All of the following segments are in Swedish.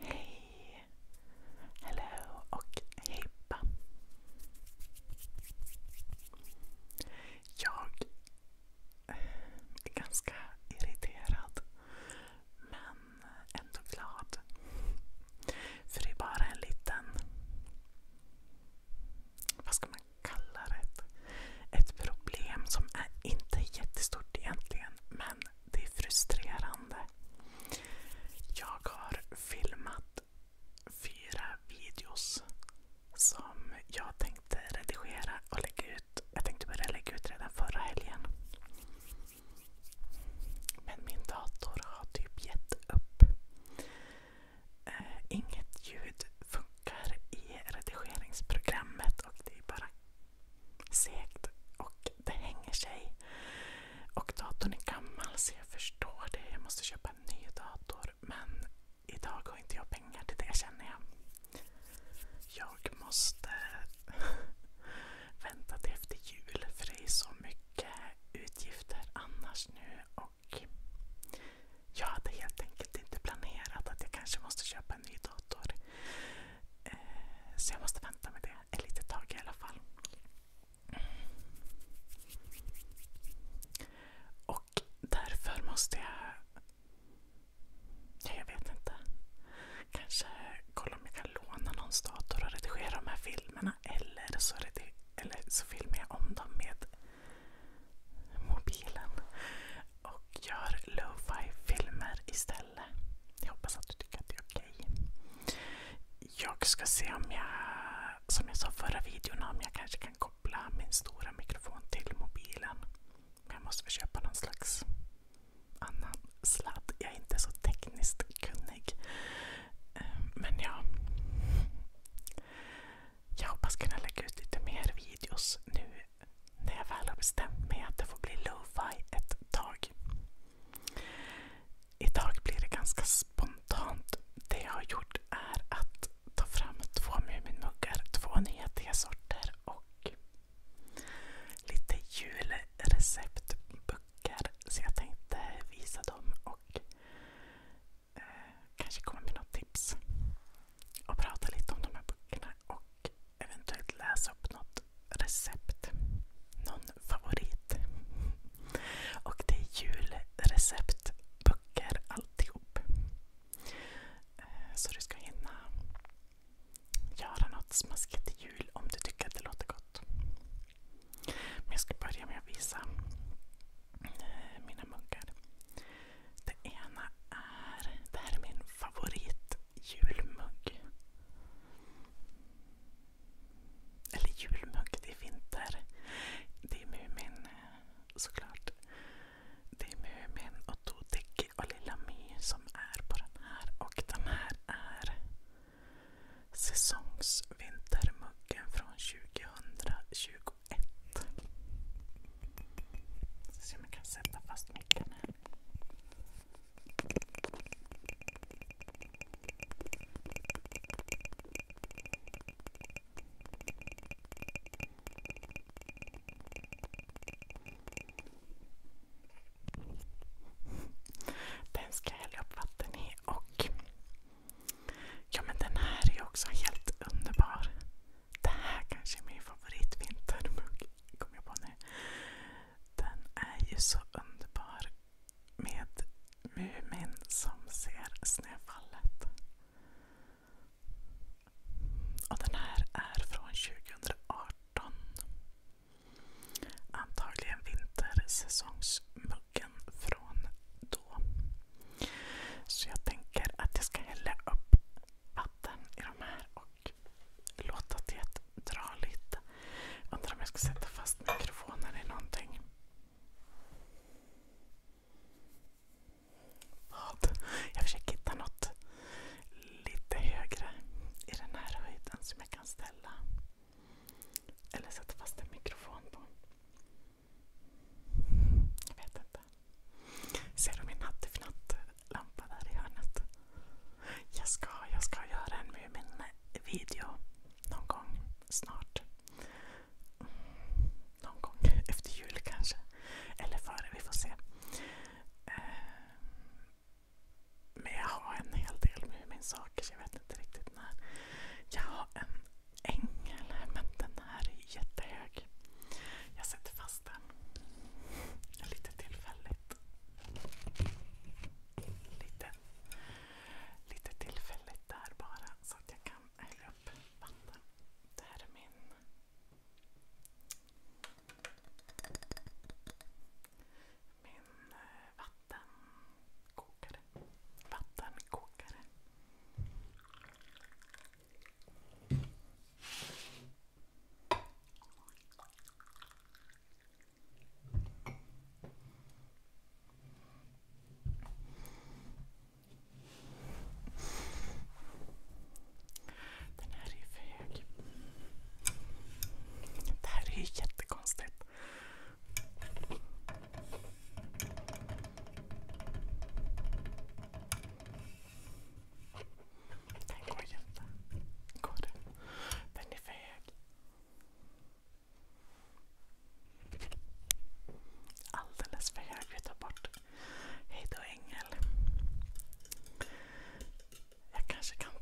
Hej! Hello och hippa! Jag är ganska irriterad men ändå glad. För det är bara en liten... Vad ska man kalla det? ett problem som är inte är jättestort egentligen, men det är frustrerande. Jag har filmat fyra videos som jag tänkte redigera och lägga ut. Jag tänkte börja lägga ut redan förra helgen. Men min dator har typ gett upp. Eh, inget ljud funkar i redigeringsprogrammet och det är bara segt och det hänger sig. Och datorn är gammal så jag förstår det. Jag måste köpa en ny dator. Men idag har inte jag pengar till det känner jag. Jag måste vänta till efter jul för det är så mycket utgifter annars nu. Och jag hade helt enkelt inte planerat att jag kanske måste köpa en ny dator. Eh, så jag måste vänta med det ett litet tag i alla fall. Och därför måste jag... jag vet inte. Kanske kolla om jag kan låna någons dator och redigera de här filmerna. eller så filmar jag om dem med mobilen och gör lo-fi filmer istället. Jag hoppas att du tycker att det är okej. Jag ska se om jag, som jag sa förra videon, om jag kanske kan koppla min stora mikrofon till mobilen. Men jag måste väl köpa någon slags annan sladd. Jag är inte så tekniskt kunnig. Eh, men ja. Jag hoppas kunna lägga ut lite mer videos nu när jag väl har bestämt mig att det får bli lo-fi ett tag. Idag blir det ganska spontant. Det jag har gjort är att ta fram två Muminmuggar, två nya tesorter och lite julreceptböcker. Så jag tänkte visa dem och eh, kanske komma med något tips. Och prata lite om de här böckerna och eventuellt läsa upp något recept. Någon favorit. Och det är julreceptböcker alltihop. Eh, så du ska hinna göra något smaskigt till jul om du tycker att det låter gott. Men jag ska börja med att visa eh, mina munkar. Det ena är, det här är min favorit julmugg. Eller julmugg, det är vinter. Det är Mumin såklart. Det är Mumin och Toteki och Lilla My som är på den här. Och den här är säsongsvintermuggen från 2021. Så jag kan sätta fast micken här. Den ska jag hälla upp vatten i och ja men den här är också helt underbar. Det här kanske är min favoritvintermugg kom jag på nu. Den är ju så underbar med Mumin som ser snöfallet. Och den här är från 2018. Antagligen vintersäsongsmuggen från då. Så jag tänker att jag ska hälla upp vatten i de här och och låta det dra lite. Undrar om jag ska sätta fast mikrofonen i någonting. Vad? Jag försöker hitta något lite högre i den här höjden som jag kan ställa. Eller sätta fast en mikrofon på. Jag vet inte. Ser du min hattifnatt? lampa där i hörnet. Jag ska, jag ska göra en Mumin-video någon gång snart. någon gång efter jul kanske. Eller före, vi får se. Ehm, men jag har en hel del Mumin-saker så jag vet inte riktigt när. Jag har en ängel, men den är jättehög. Jag sätter fast den. Lite tillfälligt. Lite, lite tillfälligt där bara så att jag kan hälla upp vatten. Det här är min min eh, vattenkokare. Vattenkokare. Den här är för hög. Det här är ju jättekonstigt. Den går jätte... Går den? Den är för hög. Alldeles för hög. Vi tar bort. Hej ängel. Jag kanske kan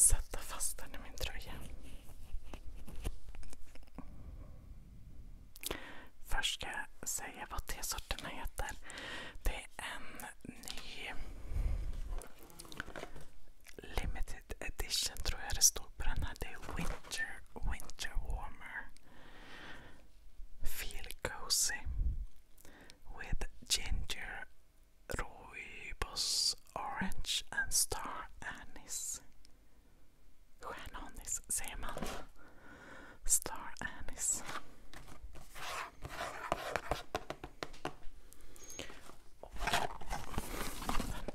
sätta fast den i min tröja. Först ska jag säga vad T-sorterna heter. Det är en limited edition tror jag det står Winter, winter Warmer. Feel cozy with ginger, rooibos, orange and star anise. Stjärnanis säger man. Star anise. Den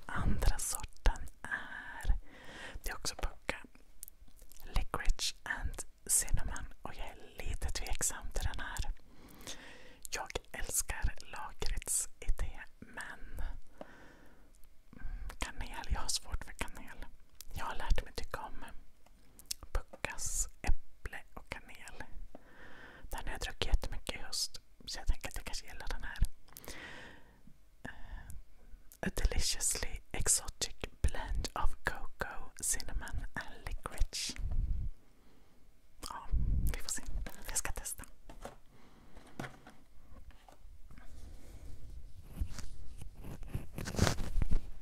andra sorten är... Det är också pucka. Licorice and cinnamon. Och jag är lite tveksam till den här. Jag älskar lakritsidé men mm, kanel, jag har svårt för kanel. Jag har lärt mig tycka om Puckas äpple och kanel. Den har jag druckit jättemycket i höst. Så jag tänker att jag kanske gillar den här. Eh, a deliciously exotic blend of cocoa, cinnamon and licorice. Ja, vi får se. Jag ska testa.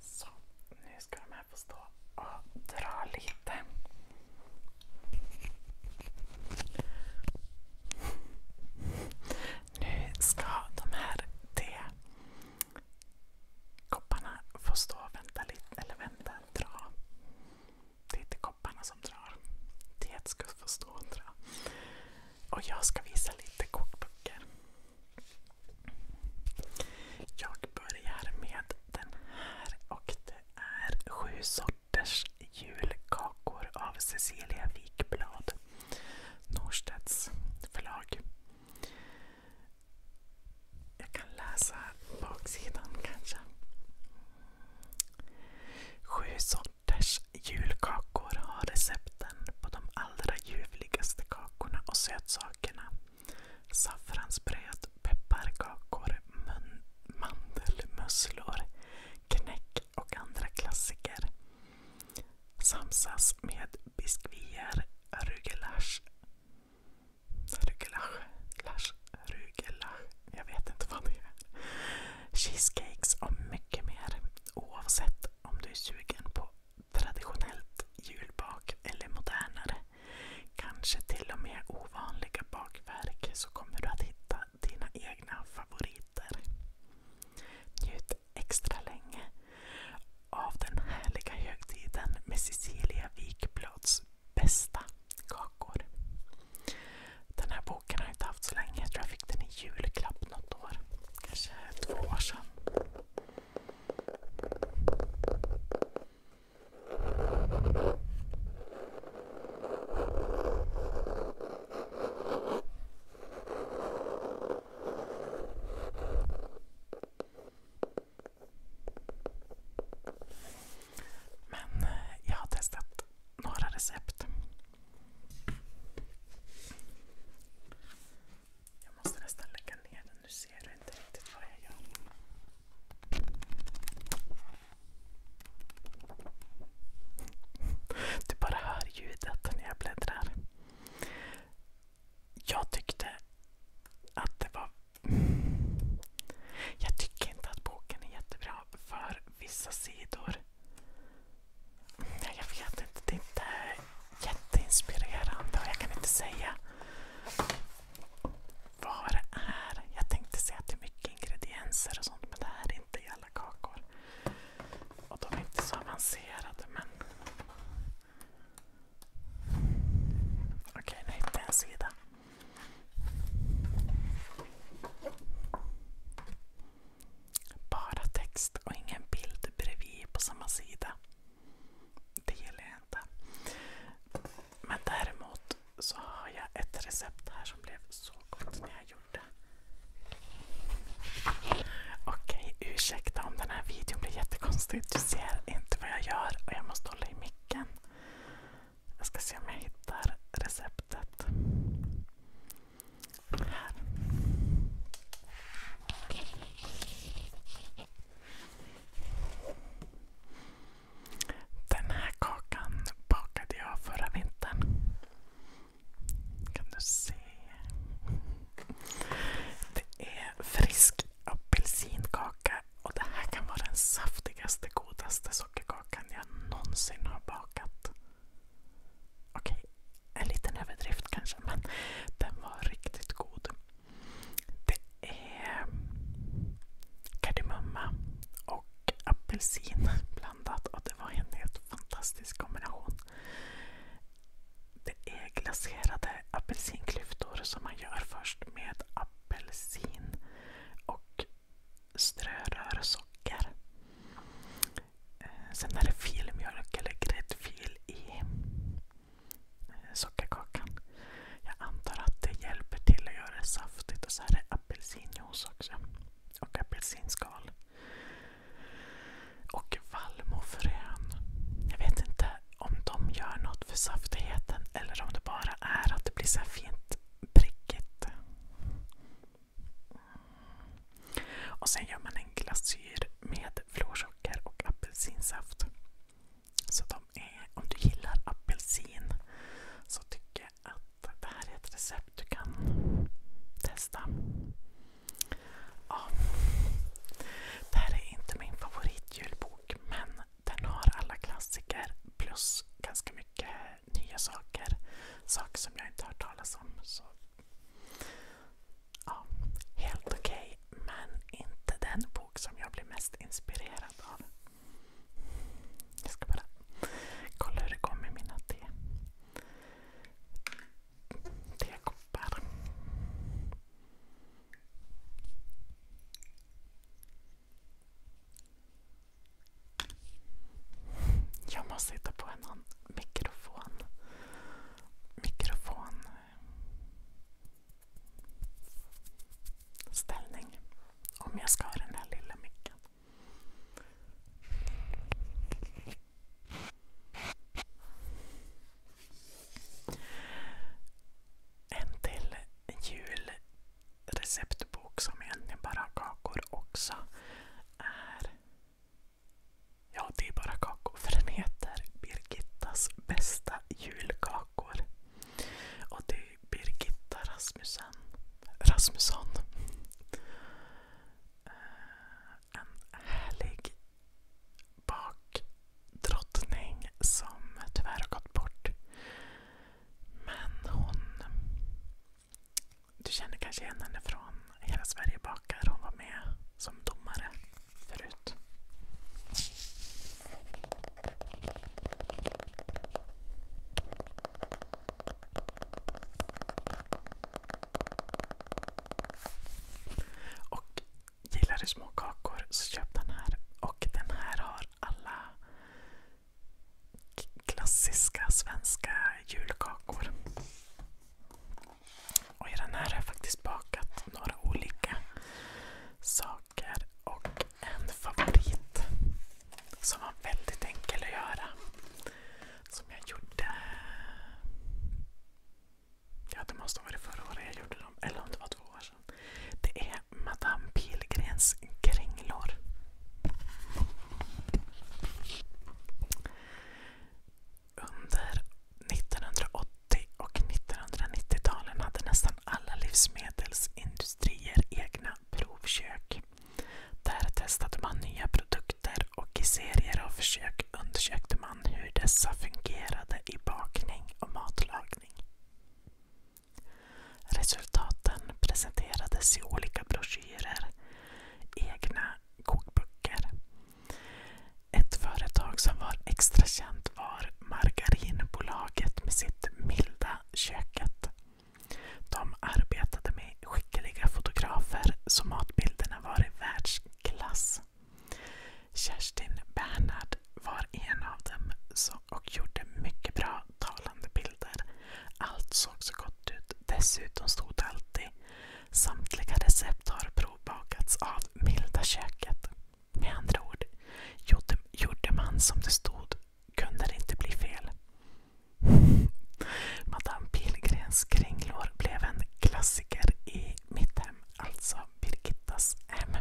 Så, nu ska de här här få stå och dra lite. Nu ska de här kopparna få stå och vänta lite, eller vänta, dra. Det är inte kopparna som drar. Teet ska få stå och dra. Och jag ska visa lite kokböcker. Jag börjar med den här och det är sju sorters julkakor av Cecilia Wikblad, Norstedts förlag. Jag kan läsa baksidan kanske. Sju sorters julkakor har recepten på de allra ljuvligaste kakorna och sötsakerna saffransbröd, pepparkakor, mandelmusslor, knäck och andra klassiker. Samsas med biskvier, rugelash, rugelasch, lasch, rugelasch, jag vet inte vad det är. Cheesecakes och mycket mer. Oavsett om du är sugen på traditionellt julbak eller modernare kanske till och med ovanliga bakverk så kommer du att hitta dina egna favoriter. Njut extra länge av den härliga högtiden med Cecilia Wikblads bästa kakor. Den här boken har jag inte haft så länge. Jag tror jag fick den i julklapp något år. Kanske två år sedan. Men eh, jag har testat några recept. Jag måste nästan lägga ner den nu ser du inte riktigt vad jag gör. Du bara hör ljudet när jag bläddrar. Jag tyckte att det var... Jag tycker inte att boken är jättebra för vissa sidor. Jag vet inte, det är inte jätteinspirerande och jag kan inte säga vad det är. Jag tänkte säga att det är mycket ingredienser och sånt men det här är inte i alla kakor. Och de är inte så avancerade men... Okej, nu hittade jag en sida. Bara text och ingen bild bredvid på samma sida. Det gillar jag inte. Men däremot så har jag ett recept här som blev så gott när jag gjorde. Okej, okay, ursäkta om den här videon blir jättekonstig. Du ser inte vad jag gör och jag måste hålla i micken. Jag ska se om jag hittar receptet. Här. Den här kakan bakade jag förra vintern. Kan du se? Det är frisk apelsinkaka och det här kan vara den saftigaste, godaste sockerkakan jag någonsin har bakat. Okej, en liten överdrift kanske, men den var riktigt god. Det är kardemumma och apelsin blandat och det var en helt fantastisk kombination. Det är glaserade apelsinklyftor som man gör först med apelsin och strörör socker. Eh, sen är det filmjölk eller gräddfil i sockerkakan. Jag antar att det hjälper till att göra det saftigt. Och så är det apelsinjuice också. Och apelsinskal. Och vallmofrön. Jag vet inte om de gör något för saftigheten eller om det bara är att det blir så här fint prickigt. Och sen gör man en glasyr med florsocker och apelsinsaft. Så de är, om du gillar apelsin så tycker jag att det här är ett recept du kan testa. Ja. Det här är inte min favoritjulbok men den har alla klassiker plus ganska mycket nya saker. Saker som jag inte har hört talas om. Så. Ja, helt okej, okay, men inte den bok som jag blir mest inspirerad av. Jag ska bara kolla hur det går med mina te. tekoppar. Jag måste hitta på en mikrofon. Mikrofon ställning om jag ska ha den här lilla micken. En till julreceptbok som egentligen bara har kakor också är... Ja, det är bara kakor för den heter Birgittas bästa julkakor. Och det är Birgitta Rasmussen. Rasmusson. Eh, en härlig bakdrottning som tyvärr har gått bort. Men hon... Du känner kanske igen henne från Hela Sverige bakar. Hon var med som domare förut. Och gillar du små så köp den här. Och den här har alla klassiska svenska julkakor. Och i den här har jag faktiskt bakat några olika saker saker och en favorit som var väldigt enkel att göra. Som jag gjorde... Ja, det måste ha varit förra året jag gjorde dem, eller om det var två år sedan. Det är Madame Pilgrens kringlor. Under 1980 och 1990-talen hade nästan alla livsmedelsindustri industrier egna provkök. Där testade man nya produkter och i serier av försök undersökte man hur dessa fungerade i bakning och matlagning. Resultaten presenterades i olika broschyrer, egna kokböcker. Ett företag som var extra känt var Margarinbolaget med sitt milda köket. De arbetade med skickliga fotografer så matbilderna var i världsklass. Kerstin Bernhard var en av dem och gjorde mycket bra talande bilder. Allt såg så gott ut. Dessutom stod det alltid Samtliga recept har provbakats av Milda köket. Med andra ord gjorde man som det stod kunde det inte bli fel. Madame Pilgrens kringlor blev en klassiker i mitt hem, alltså Birgittas hem.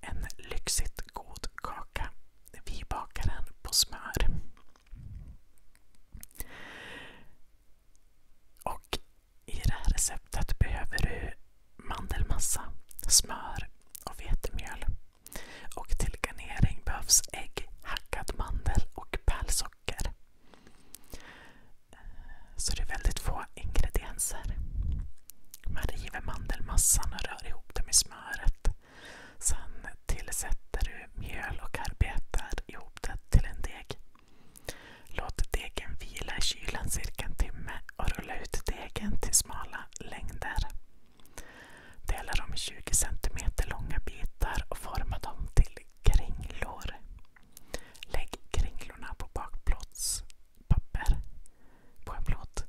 En lyxigt god kaka. Vi bakar den på smör. Och i det här receptet behöver du mandelmassa, smör och vetemjöl. Och till garnering behövs ägg, hackad mandel och pärlsocker. Eh, så det är väldigt få ingredienser. Man river mandelmassan och rör ihop det med smöret. Sen tillsätter du mjöl och arbetar ihop det till en deg. Låt degen vila i kylen cirka en timme och rulla ut degen till smala längder. Dela dem i 20 cm långa bitar och forma dem till kringlor. Lägg kringlorna på bakplåtspapper på en plåt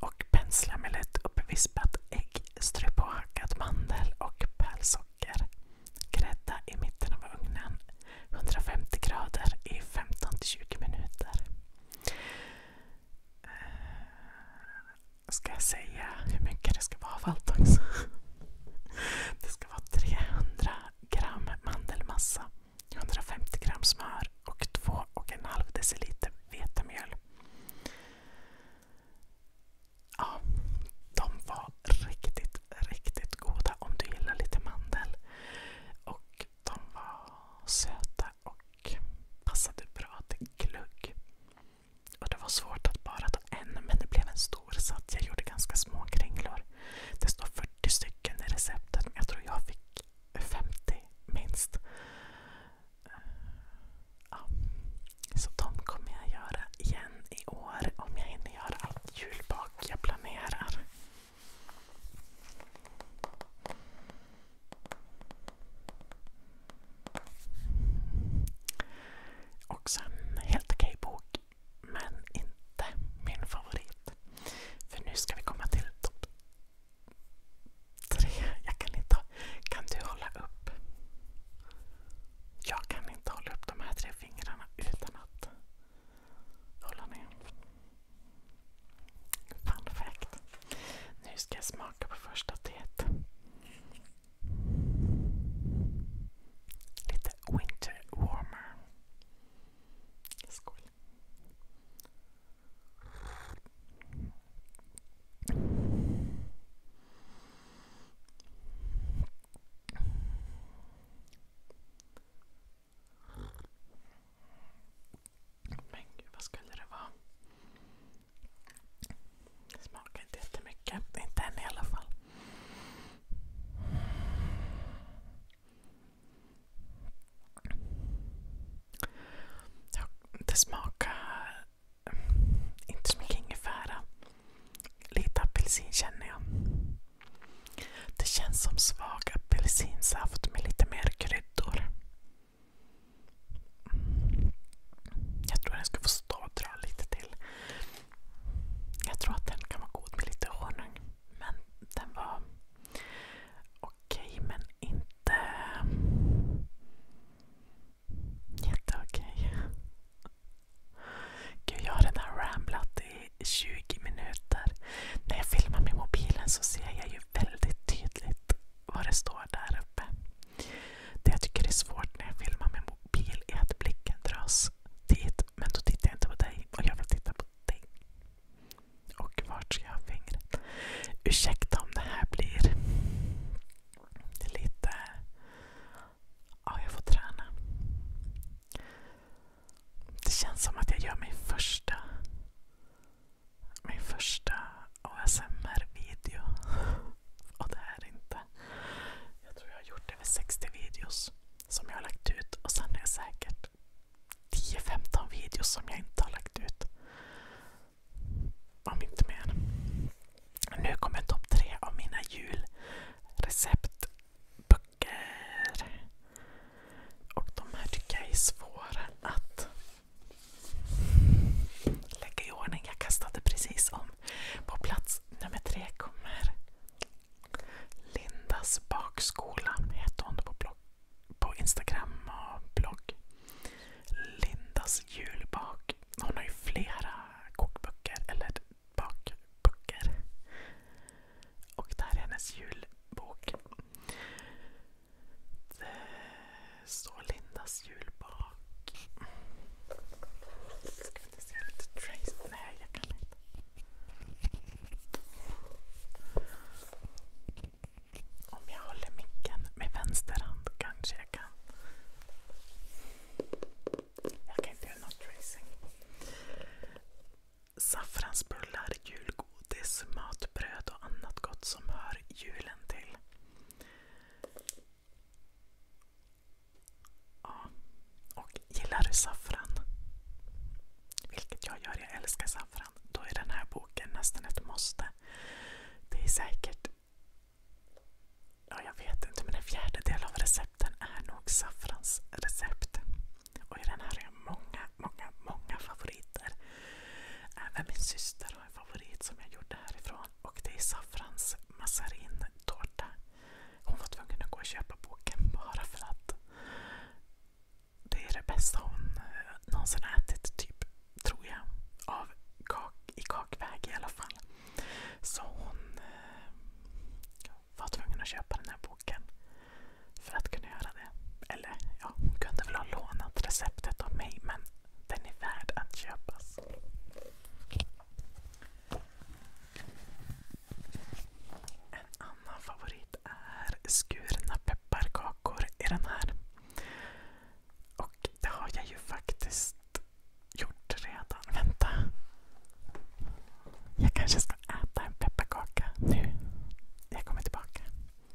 och pensla med lätt uppvispat ägg. Strö på hackad mandel och pärlsocker. Grädda i mitten av ugnen 150 grader i 15-20 minuter. Eh, ska jag säga hur mycket det ska vara av allt också? Det ska vara 300 gram mandelmassa, 150 gram smör och 2,5 deciliter vetemjöl. Ja, de var riktigt, riktigt goda om du gillar lite mandel. Och och de var söta och passade bra till glögg. Och det var svårt att bara ta en, men det blev en stor så att jag gjorde ganska små kringlor. Det står 40 stycken i receptet, men jag tror jag fick 50 minst. Eh, ja. Så de kommer jag göra igen i år om jag hinner göra allt julbak jag planerar. Också en helt okej bok, men inte min favorit. För nu ska vi komma till topp tre. Jag kan inte... Kan du hålla upp? Jag kan inte hålla upp de här tre fingrarna utan att hålla ner. Fun fact. Nu ska jag smaka på första teet. Lite winter warmer. Skål. Men gud, vad skulle det vara? Det smakar inte jättemycket. Inte än i alla fall. Det smakar inte så mycket ingefära. Lite apelsin känner jag. Det känns som svag apelsinsaft med lite mer kryddor. Jag tror den ska få stadra lite till. Jag tror att den kan vara god med lite honung. Men den var okej, men inte jätteokej. Gud, jag har redan ramblat i 20 minuter. När jag filmar med mobilen så ser jag ju väldigt tydligt vad det står där uppe. Det jag tycker är svårt när jag filmar med mobil är att blicken dras dit. Men då tittar jag inte på dig och jag vill titta på dig. Och vart ska jag ha fingret? Ursäkta om det här blir lite... Ja, jag får träna. Det känns som att jag gör min första min första ASMR-video. Och det här är inte... Jag tror jag har gjort över 60 videos som jag har lagt ut. Och sen är det säkert 10-15 videos som jag inte har lagt ut. Om inte mer. Nu kommer topp tre av mina julreceptböcker. Och de här tycker jag är svåra att Lägga i ordning. Jag kastade precis om. På plats nummer tre kommer Lindas bakskola. Heter hon på, blogg, på Instagram och blogg. Lindas julbak. Hon har ju flera kokböcker. Eller bakböcker. Och det här är hennes julbok. Det står Lindas jul bak. Ska vi inte se lite trace? Nej, jag kan inte. Om jag håller micken med vänster hand kanske jag kan. Jag kan inte göra något tracing. Saffransbullar, julgodis godis, matbröd och annat gott som hör julen till. Ja, och gillar du saffran? Vilket jag gör, jag älskar saffran. Då är den här boken nästan ett måste. Det är säkert, ja jag vet inte, men en fjärdedel av recepten är nog saffransrecept. Och i den här är många många, många favoriter. Även min syster har en favorit som jag gjorde härifrån. Och det är saffrans mazarin-tårta. Hon var tvungen att gå och köpa boken bara för att det är det bästa hon eh, någonsin har ätit, typ, tror jag. Av kak, I kakväg i alla fall. Så hon eh, var tvungen att köpa den här boken för att kunna göra det. Eller ja, hon kunde väl ha lånat receptet av mig men den är värd att köpas. En annan favorit är skurna pepparkakor i den här. Och det har jag ju faktiskt gjort redan. Vänta. Jag kanske ska äta en pepparkaka nu. Jag kommer tillbaka.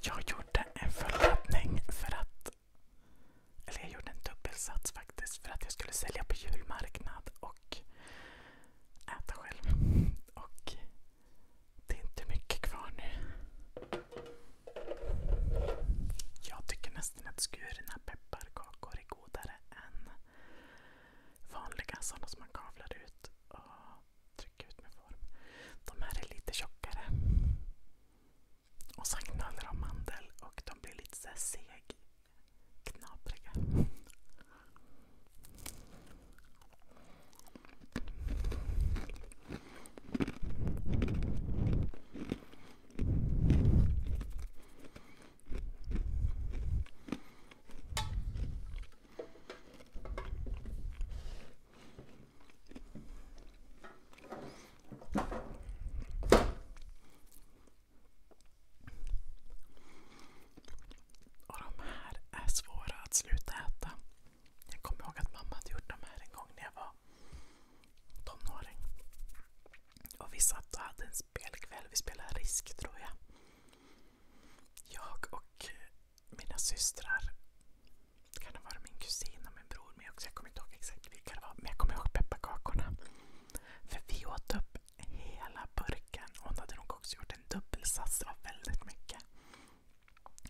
Jag gjorde en förlottning för att... Eller jag gjorde en dubbelsats faktiskt. För att jag skulle sälja på julmarknad och äta själv. Och det är inte mycket kvar nu. Jag tycker nästan att skurna pepparkakor är godare än vanliga sådana som man kavlar ut. Och trycka ut med form. De här är lite tjockare. Och sen knölar de mandel och de blir lite så seg. Knapriga. Mm. Och de här är svåra att sluta äta. Jag kommer ihåg att mamma hade gjort de här en gång när jag var tonåring. Och vi satt och hade en spelkväll. Vi spelade Risk tror jag. Jag och mina systrar det kan ha varit min kusin och min bror med också. Jag kommer inte ihåg exakt vilka det var. Men jag kommer ihåg pepparkakorna. För vi åt upp hela burken. Hon hade nog också gjort en dubbelsats. Det var väldigt mycket.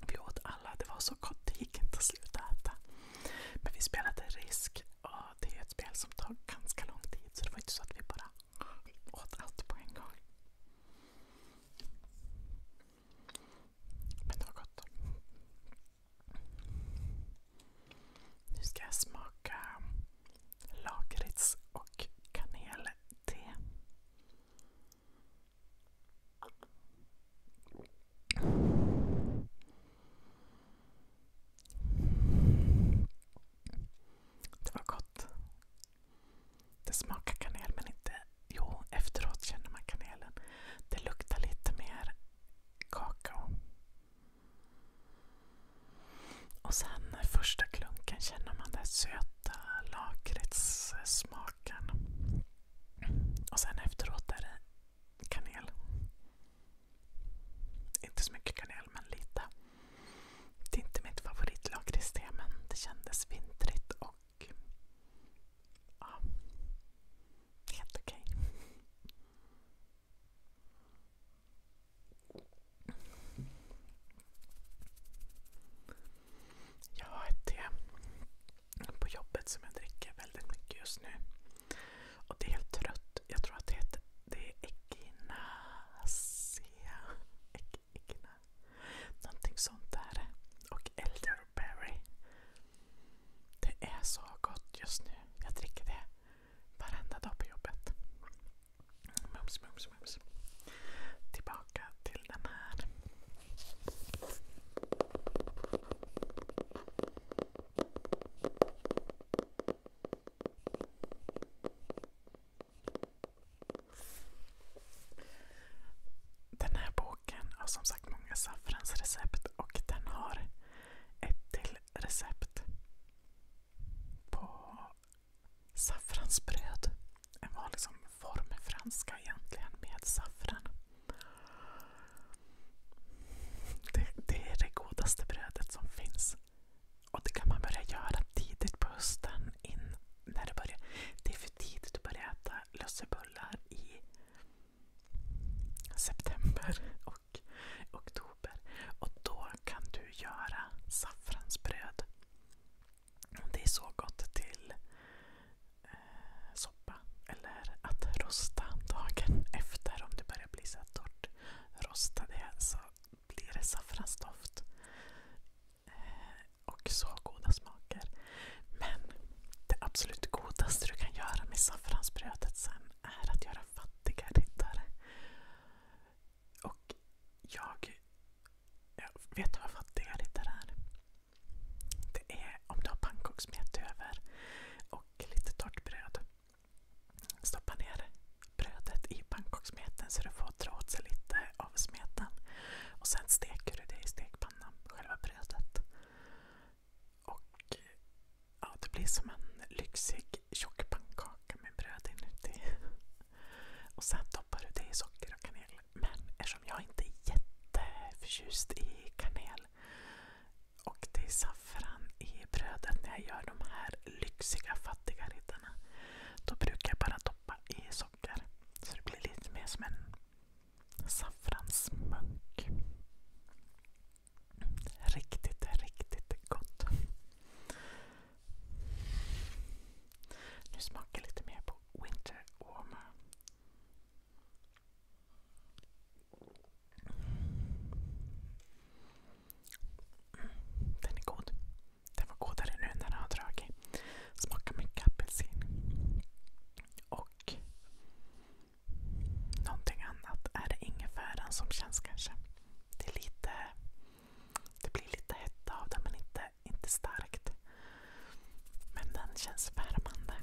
Vi åt alla. Det var så gott. Det gick inte att sluta äta. Men vi spelade Risk. Och det är ett spel som tar ganska lång tid. Så det var inte så att vi bara åt allt på en gång. Men det var gott. Nu ska jag smaka lakrits och kanel-te. Det var gott. Det smakar kanel men inte... Jo, efteråt känner man kanelen. Det luktar lite mer kakao. Och sen första klunken känner man den söta lakritssmaken. Och sen efteråt är det kanel. Inte så mycket kanel, men lite. Det är inte mitt favoritlakritste, men det kändes vintrigt och och ja, helt okej. Jag har ett te på jobbet som jag dricker väldigt mycket just nu. Och det är helt rött. Jag tror att det heter det är Någonting sånt där. Och äldre Berry. Det är så gott just nu. Jag dricker det varenda dag på jobbet. Mums, mums, mums. Tillbaka till den här. Den här boken har som sagt många saffransrecept och den har ett till recept på saffransbröd. En vanlig som franska egentligen med saffran. Det, det är det godaste brödet som finns. Och det kan man börja göra tidigt på hösten. In, när det, börjar, det är för tidigt att börja äta lussebullar i september och oktober. Och då kan du göra saffransbröd. Det är så gott till eh, soppa eller att rosta dagen efter om det börjar bli så torrt. Rosta det så blir det saffransdoft. Eh, och så goda smaker. Men det absolut godaste du kan göra med saffransbrödet sen är att göra fattiga riddare. Och jag, jag vet du vad fattiga riddare är? Det är om du har pannkakssmet över och lite torrt bröd. Stoppa ner brödet i pannkakssmeten så du får dra åt sig lite av smeten. Och sen steker du det i stekpannan spänna själva brödet. Och ja, Det blir som en lyxig tjock pannkaka med bröd inuti. Och sen toppar du det i socker och kanel. Men eftersom jag inte är jätteförtjust i kanel och det är saffran i brödet när jag gör de här lyxiga fattiga riddarna. Då brukar jag bara toppa i socker. Så det blir lite mer som en saffransmunk. Riktigt, riktigt gott. Nu smakar jag lite mer på Winter Warmer. Den är god. Den var godare nu när den har dragit. Smakar mycket apelsin. Och någonting annat är det ingefäran som känns kanske. Det, är lite, det blir lite hetta av den men inte, inte starkt. Men den känns värmande.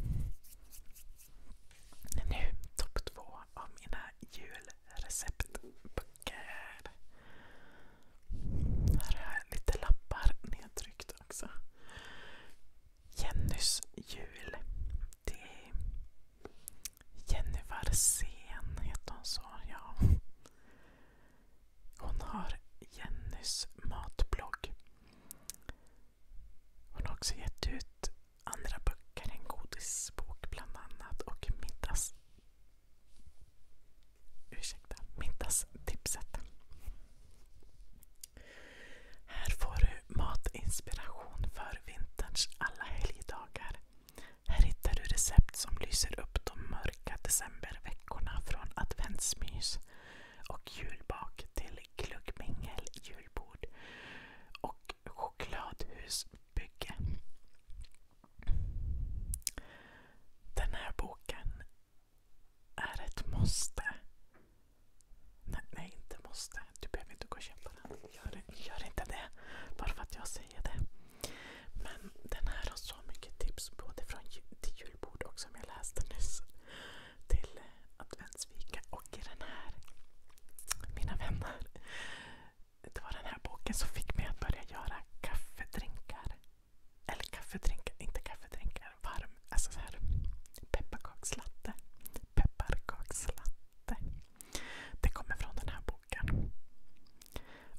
Nu topp två av mina julreceptböcker. Här har jag lite lappar nedtryckt också. Jennys jul. Det är Jenny Varsén heter hon så, ja. Hon har Jennys matblogg. Hon har också gett ut andra böcker, en godisbok bland annat och middags... Ursäkta, middagstipset. Här får du matinspiration för vinterns alla helgdagar. Här hittar du recept som lyser upp de mörka decemberveckorna från adventsmys och julbak till glöggmingel, julbord och chokladhusbygge. Den här boken är ett måste. Nej, nej, inte måste. Du behöver inte gå och köpa den. Gör, gör inte det. Bara för att jag säger det. Men den här har så mycket tips både från till julbord och som jag läste nyss. Till adventsfika och i den här. Mina vänner. Det var den här boken som fick mig att börja göra kaffedrinkar. Eller kaffedrink, inte kaffedrinkar. Varm, alltså så här pepparkakslatte. Pepparkakslatte. Det kommer från den här boken.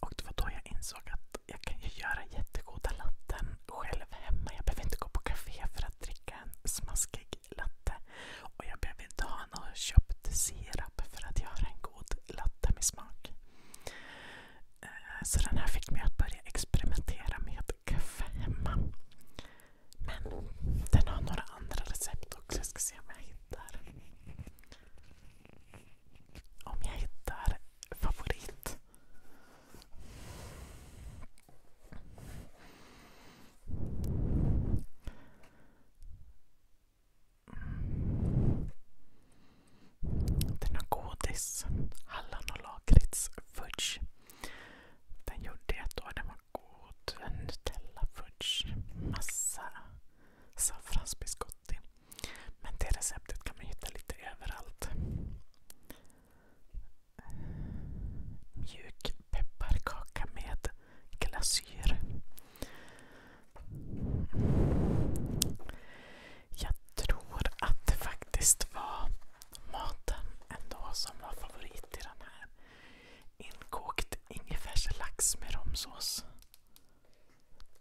Och det var då jag insåg att jag kan ju göra jättegoda latten själv hemma. Jag behöver inte gå på café för att dricka en smaskig latte. Och jag behöver inte ha någon köpt sirap för att göra en god latte med smak. Eh, så den här fick mig att börja experimentera med femma. Men den har några andra recept också. Jag ska se om jag hittar. Om jag hittar favorit. Den har godis, hallon och lakrits, den gjorde jag då. Den var god. En Nutella-fudge. Massa saffransbiscotti. Men det receptet kan man hitta lite överallt. Mjuk pepparkaka med glasyr. Jag tror att det faktiskt var maten ändå som var favorit i den här. Inkokt ingefärslax med romsås.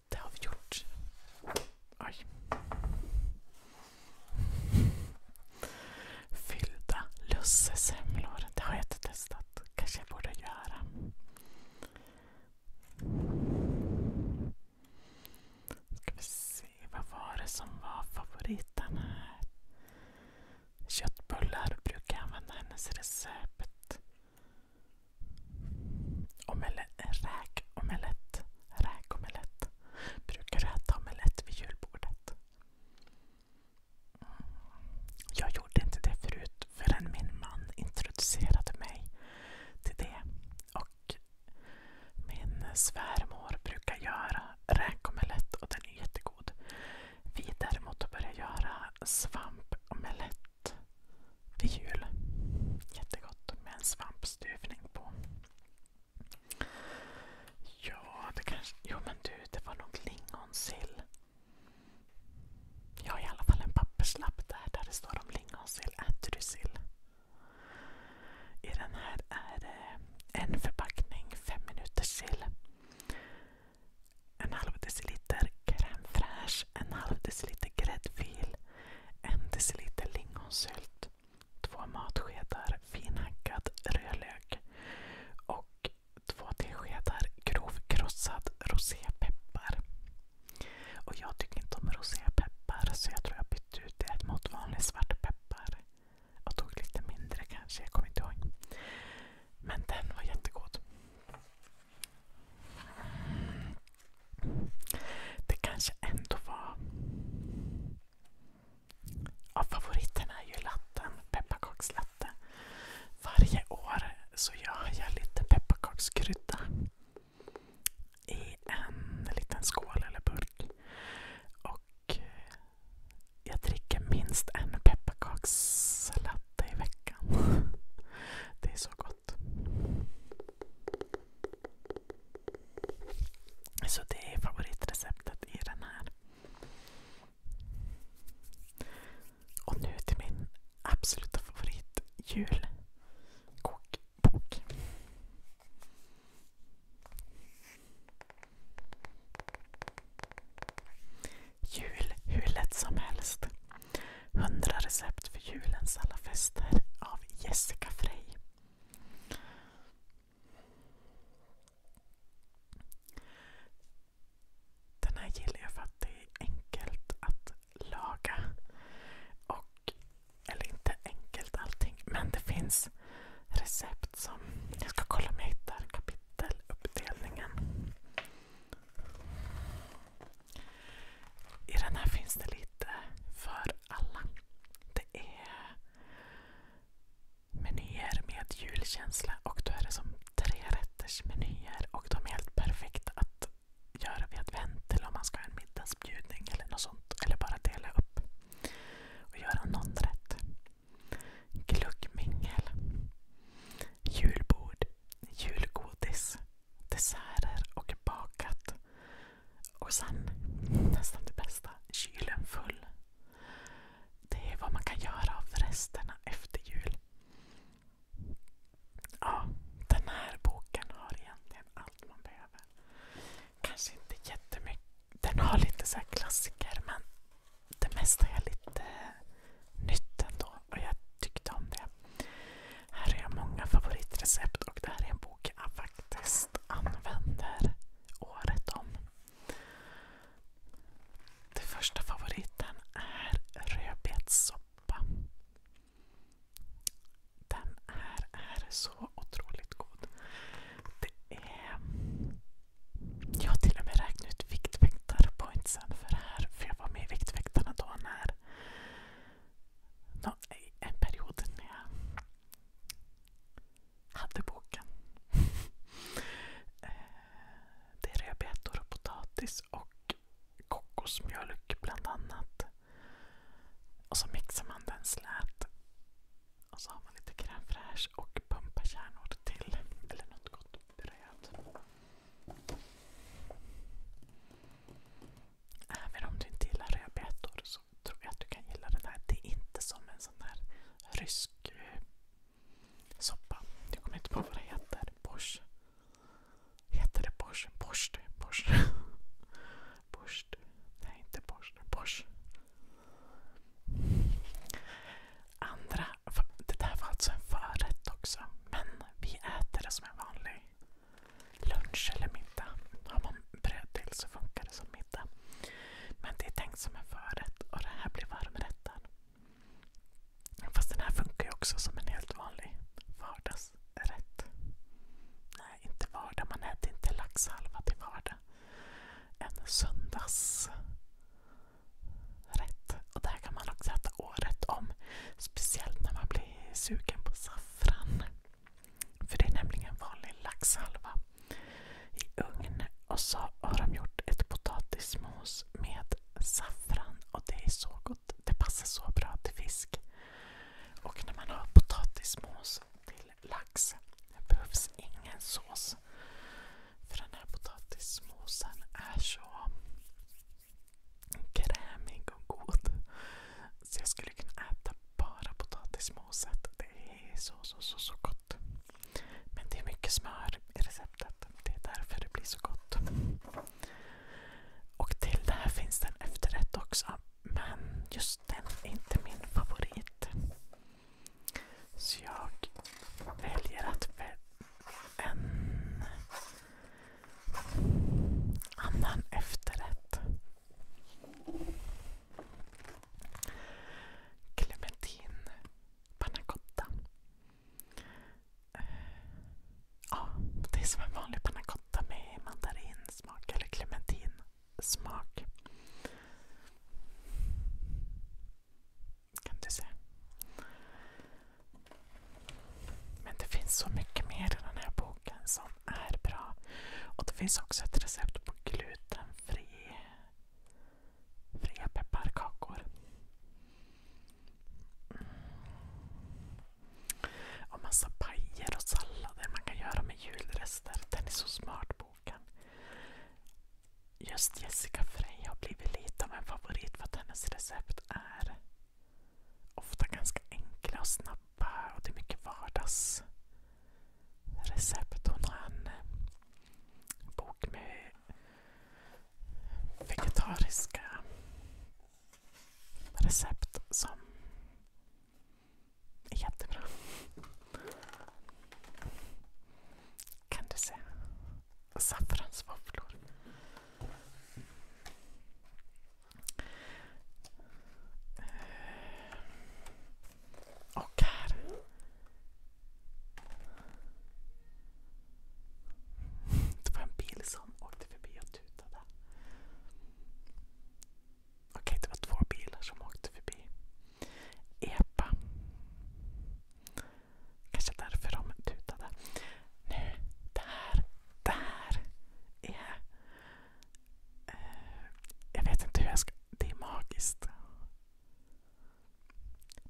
Det har vi gjort. Oj. Fyllda lussesemlor. Det har jag inte testat. kanske jag borde göra. Ska vi se, vad var det som var favoriten här? Köttbullar brukar jag använda hennes recept. Omelett, räkomelett. Räkomelett. Brukar du äta omelett vid julbordet? Mm. Jag gjorde inte det förut förrän min man introducerade mig till det. Och min svärmor brukar göra räkomelett och den är jättegod. Vi däremot har börjat göra svampomelett vid jul. Jättegott med en svampstuvning på. Ja, det kanske... Jo men du, det var nog lingonsill. Jag har i alla fall en papperslapp där, där det står om lingonsill. Äter du sill? I den här är det en förpackning fem minuters sill. En halv deciliter crème fraîche, en halv deciliter gräddfil, en deciliter lingonsylt, två matskedar finhackad rödlök och två teskedar grovkrossad rosépeppar. Och jag tycker inte om rosépeppar så jag tror jag bytte ut det mot vanlig svartpeppar. Jag tog lite mindre kanske, jag kommer inte ihåg. Men den var jättegod. Det kanske ändå var... Ja, favoriten är ju latten, pepparkakslatte. Varje år så gör jag lite pepparkakskrydda i en liten skål eller burk. Och jag dricker minst en pepparkakslatte i veckan. Det är så gott. Så det är favoritreceptet i den här. Och nu till min absoluta favorit, julkok bok. Jul hur lätt som helst. 100 recept för julens alla fester av Jessica Frey. Den här gillar jag för att det är enkelt att laga. Och eller inte enkelt allting. Men det finns recept som... Jag ska kolla om jag hittar kapiteluppdelningen. I den här finns det lite för alla. Det är menyer med julkänsla och då är det som trerättersmenyer och de är helt perfekta att göra vid advent eller om man ska ha en middagsbjudning eller något sånt. Eller bara dela upp och göra någon rätt. Gluggmingel. Julbord. Julgodis. Desserter och bakat. Och sen, nästan det bästa, kylen full. Det är vad man kan göra av resterna efter jul. Ja, den här boken har egentligen allt man behöver. Kanske inte jättemycket den har lite så klassiker men det mesta är lite nytt ändå och jag tyckte om det. Här har jag många favoritrecept och det här är en bok jag faktiskt använder året om. Den första favoriten är rödbetssoppa. Den här är så otroligt god. Det är... Jag har till och med räknat ut Viktväktarpointsen för det här. För jag var med i Viktväktarna då när... Nå, en period när jag hade boken. Eh, det är rödbetor och potatis och kokosmjölk bland annat. Och så mixar man den slät och så har man lite crème fraîche och pumpakärnor till. Eller något gott bröd. Även om du inte gillar rödbetor så tror jag att du kan gilla den här. Det är inte som en sån här rysk eh, soppa. Jag kommer inte på vad det heter. Borsch. Heter det borsch? Borsch. Borsch. Nej, inte borsch. Borsch. Andra, det där var alltså en förrätt också. Men vi äter det som en vanlig lunch eller middag. Har man bröd till så funkar det som middag. Men det är tänkt som en förrätt och det här blir varmrätten. Fast den här funkar ju också som en helt vanlig vardagsrätt. Nej, inte vardag, man äter inte laxhalva till vardag. En söndagsrätt. Och det här kan man också äta året om. Speciellt när man blir sugen på saffran. För det är nämligen vanlig laxhalva i ugn. Och så har de gjort ett potatismos med saffran. Och det är så gott. Det passar så bra till fisk. Och när man har potatismos till lax. Det behövs ingen sås. För den här potatismosen är så krämig och god. Så jag skulle kunna äta bara potatismoset. Det är så, så, så, så gott. Men det är mycket smör i receptet. Det är därför det blir så gott. Och till det här finns det en efterrätt också. Men just den är inte min favorit. Så jag väljer att välja en annan efterrätt. Clementin pannacotta. Eh, ja, det är som en vanlig pannacotta med mandarinsmak eller clementin smak. Kan du se? Men det finns så mycket mer i den här boken som är bra. Och det finns också ett recept på glutenfri fria pepparkakor. Mm. Och massa pajer och sallader man kan göra med julrester. Den är så smart boken. Just Jessica Frey har blivit lite av en favorit för att hennes recept är ofta ganska enkla och snabba och det är mycket vardagsrecept. Hon har en eh, bok med vegetariska recept som Jättebra. Kan du se? Saffransvåfflor. Eh, och här. Det var en bil som åkte förbi och tutade. Okej, det var två bilar som åkte förbi. Epa. Kanske därför de tutade. Nu, det här, det här är... Eh, jag vet inte hur jag ska... Det är magiskt.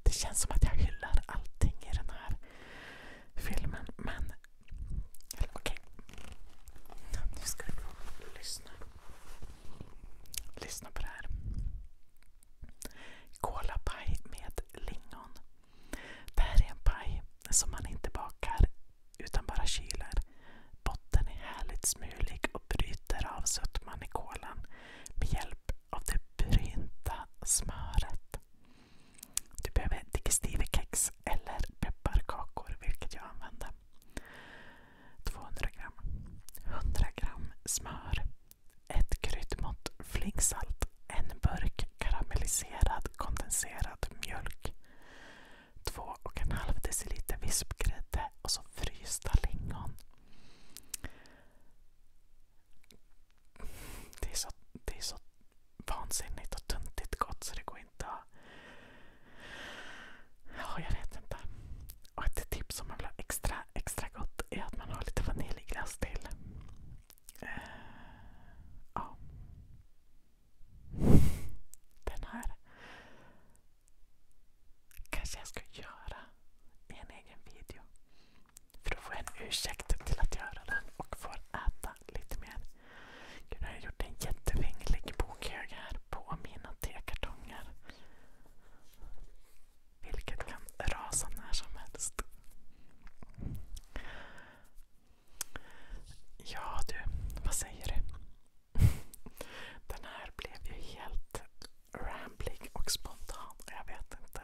Det känns som att jag hyllar allting i den här filmen, men... Okej. Nu ska du få lyssna. Lyssna på det här. Kolapaj med lingon. Det här är en paj som man inte bakar utan bara kyler. Botten är härligt smulig och bryter av sötman i kolan med hjälp av det brynta smöret. Du behöver digestivekex eller pepparkakor, vilket jag använder. 200 gram. 100 gram smör. Ett kryddmått flingsalt. En burk karamelliserad kondenserad mjölk. 2,5 deciliter vispgrädde och så frysta lingon. Det är så, det är så vansinnigt och tuntigt gott så det går inte att Ja, jag vet inte. ett tips som man vill ha extra, gott är att man har lite vaniljglass till. Eh, den här kanske jag ska göra i en egen video. För då får jag en ursäkt till att göra den och får äta lite mer. Gud, har gjort en jättevinglig bokhög här på mina tekartonger. Vilket kan rasa när som helst. Ja du, vad säger du? Den här blev ju helt rambling och spontan. Jag vet inte.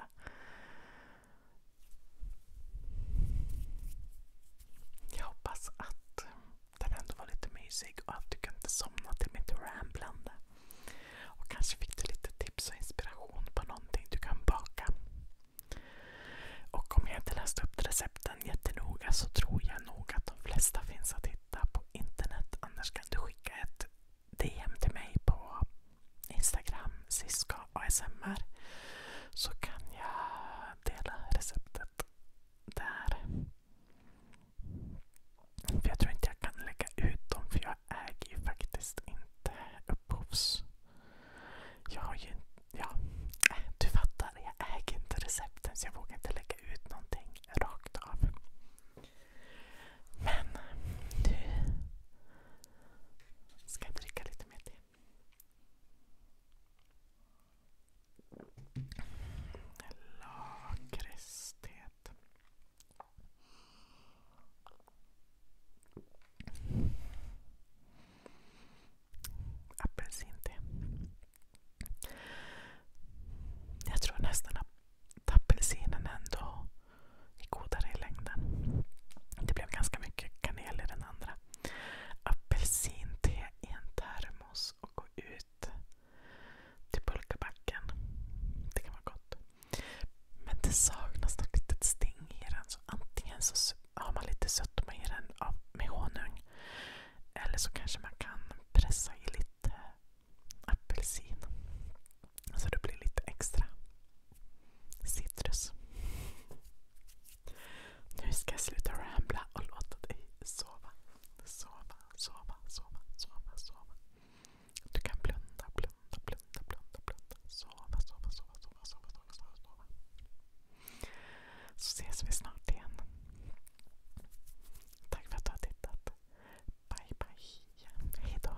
Jag hoppas att den ändå var lite mysig och att du kunde somna till mitt ramblande. Och kanske fick du lite tips och inspiration på någonting du kan baka. Och om jag inte läste upp recepten jättenoga så tror jag nog att de flesta finns att hitta på internet. Annars kan du skicka ett DM till mig på Instagram, Siska ASMR. Så kan jag dela receptet där. För jag tror inte jag kan lägga ut dem för jag äger ju faktiskt inte upphovs... Jag har ju Ja, äh, du fattar. Jag äger inte recepten så jag vågar inte lägga ut någonting rakt av. Men du... ska jag dricka lite mer te. Lakresthet. Apelsinte. Jag tror nästan att apelsinen ändå är godare i längden. Det blev ganska mycket kanel i den andra. Apelsinte i en termos och gå ut till pulkabacken. Det kan vara gott. Men det saknas något litet sting i den. Så antingen så har man lite sötma i den med honung. Eller så kanske man kan pressa i lite apelsin. Så det blir lite extra citrus. Nu ska jag sluta rambla och låta dig sova. Sova, sova, sova, sova, sova. Du kan blunda, blunda, blunda, blunda, blunda. Sova, sova, sova, sova, sova, sova, sova, sova. Så ses vi snart igen. Tack för att du har tittat. Bye, bye. Hejdå.